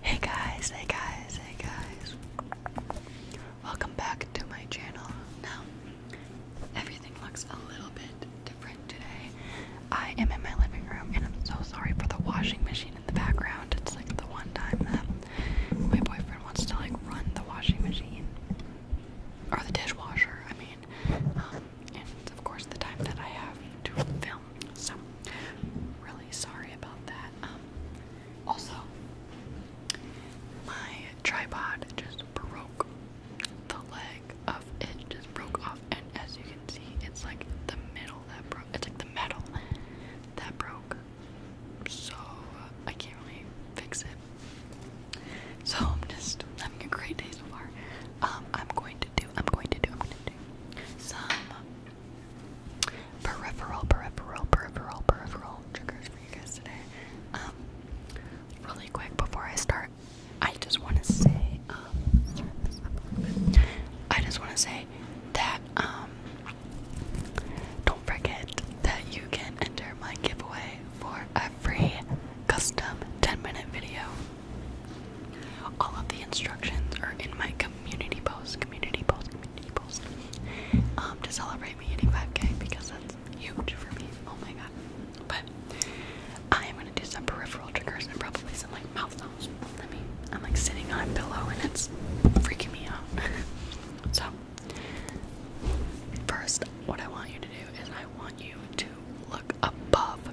Hey guys, hey guys, hey guys. Welcome back to my channel. Now, everything looks a little bit different today. I am in my living room and I'm so sorry for the washing machine in the background. It's like the one time that my boyfriend wants to like run the washing machine or the dishwasher, I mean. Um, and of course, the time that I have to film film. So really sorry about that. Um, also, my tripod just broke. The leg of it just broke off, and as you can see, it's like the middle that broke. It's like the metal that broke. So uh, I can't really fix it. So I'm just having a great day so far. Um, I'm going to do. I'm going to do. I'm going to do some peripheral, peripheral, peripheral, peripheral triggers for you guys today. Um, really quick before I start, I just want to say, um, I just want to say that um, don't forget that you can enter my giveaway for a free custom 10 minute video all of the instructions are in my community post, community post, community post, um, to celebrate me hitting 5k because that's huge for me. Oh my god. But I am gonna do some peripheral triggers and probably some like mouth sounds. Let me I'm like sitting on a pillow and it's freaking me out. so first what I want you to do is I want you to look above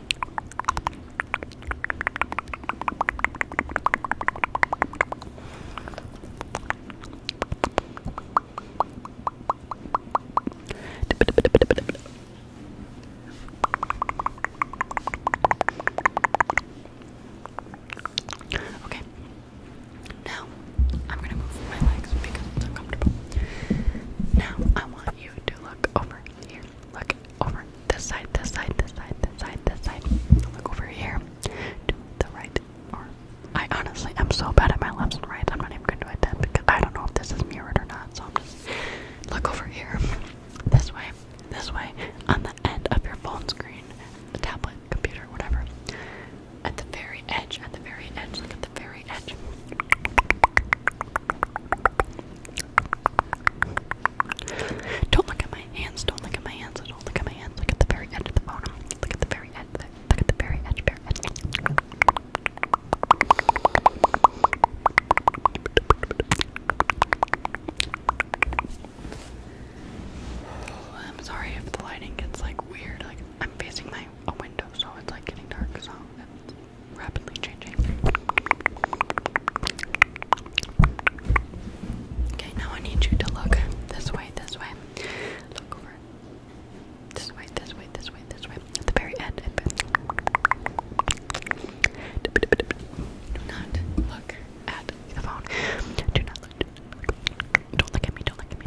Okay. Now I'm gonna move my legs because it's uncomfortable. Now I want you to look over here. Look over this side, this side, this side, this side, this side. Look over here to the right. I honestly am so bad at my lefts and rights. I'm not even going to do attempt because I don't know if this is mirrored or not. So I'm just look over here, this way, this way, on the end of your phone screen, tablet, computer, whatever. At the very edge, at the very edge. Look at the very edge. Don't look at my hands. Don't look at my hands. Don't look at my hands. Look at the very edge of the bottom. Look at the very edge. Look at the very edge. Very edge. I'm sorry if the lighting gets like weird. Like I'm facing my a window, so it's like getting dark. So it's rapidly changing. Okay, now I need you to look this way, this way. Look over. This way, this way, this way, this way. At the very end. Do not look at the phone. Do not look. Don't look at me, don't look at me,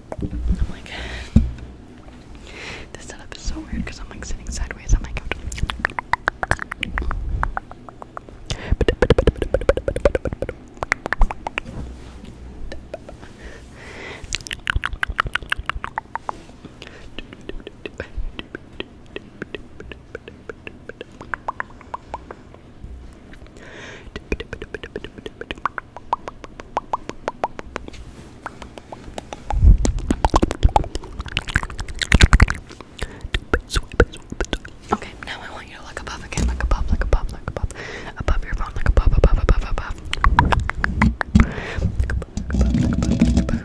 I'm like, this setup is so weird because I'm like sitting sideways on my couch. Okay, now I want you to look above again, like above, like above, like above, above your phone, like above, above, above, above. Like above, above, like above, like above.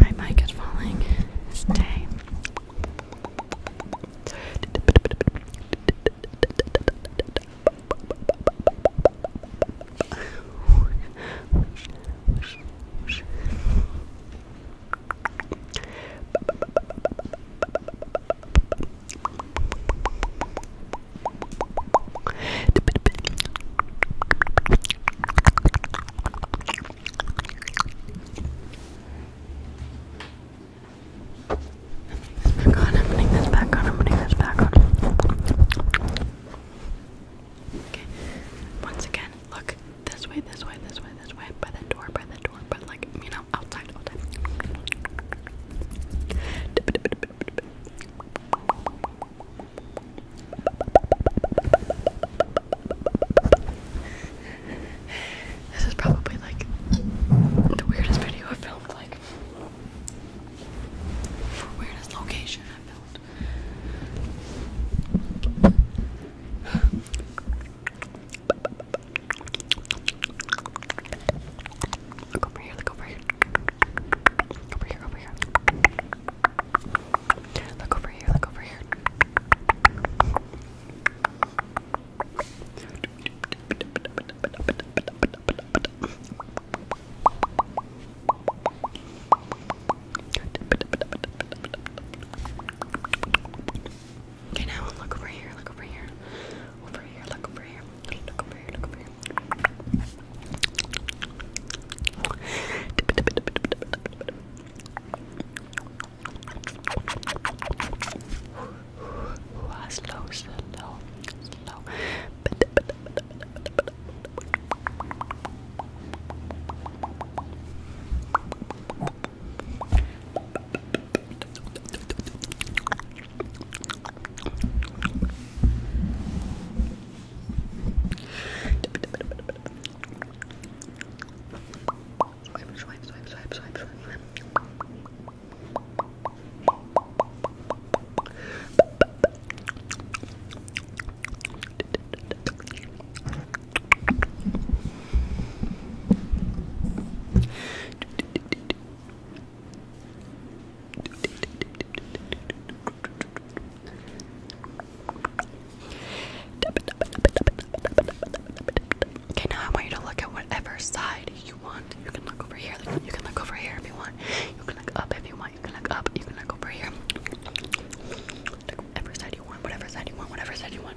My mic is falling. Stay. This back on, I'm putting this back on, I'm putting this back on. Okay, once again, look, this way, this way, this way, this way, by the door, by the door, but like, you know, outside all time. This is probably like the weirdest video I've filmed, like weirdest location I've filmed. Look over here, look over here. Over here, over here. Look over here, look over here. Good. Okay, now look over here, look over here. Over here, look over here. Look over here, look over here. Slow, slow, slow. Swipe, swipe, swipe, swipe, swipe, swipe. Okay, now I want you to look at whatever side you want. You can look over here. you can look over here if you want. You can look up if you want. You can look up. You can look over here. whatever side you want. Whatever side you want. Whatever side you want.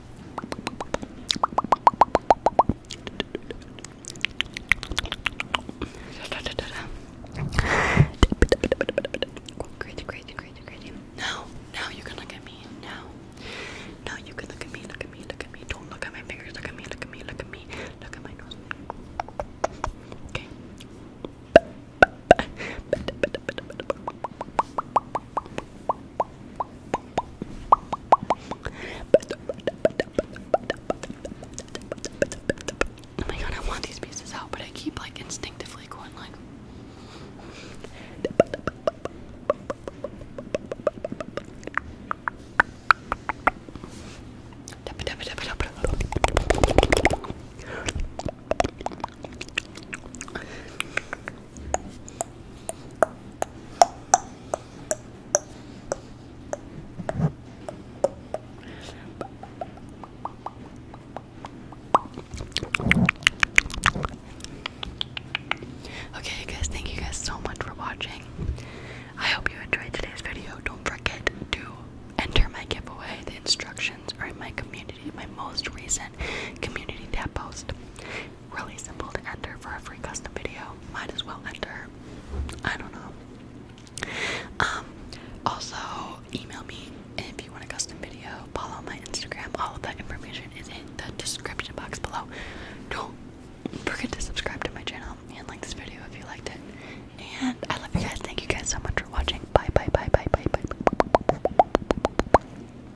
Now, crazy, you can look at me. Now, now you can look at me. Look at me. Look at me. Don't look at my fingers. Look at me. Look at me. Look at me. Look at my nose. Okay. Oh my god, I want these pieces out, but I keep like instinctively going like Okay, guys, thank you guys so much for watching. I hope you enjoyed today's video. Don't forget to enter my giveaway. The instructions are in my community, my most recent community tab post really simple to enter for a free custom video. Might as well enter. I don't know. Um, also, email me if you want a custom video. Follow my Instagram. All of that information is in the description box below. Don't forget to subscribe to my channel and like this video if you liked it. And I love you guys. Thank you guys so much for watching. Bye, bye, bye, bye, bye, bye.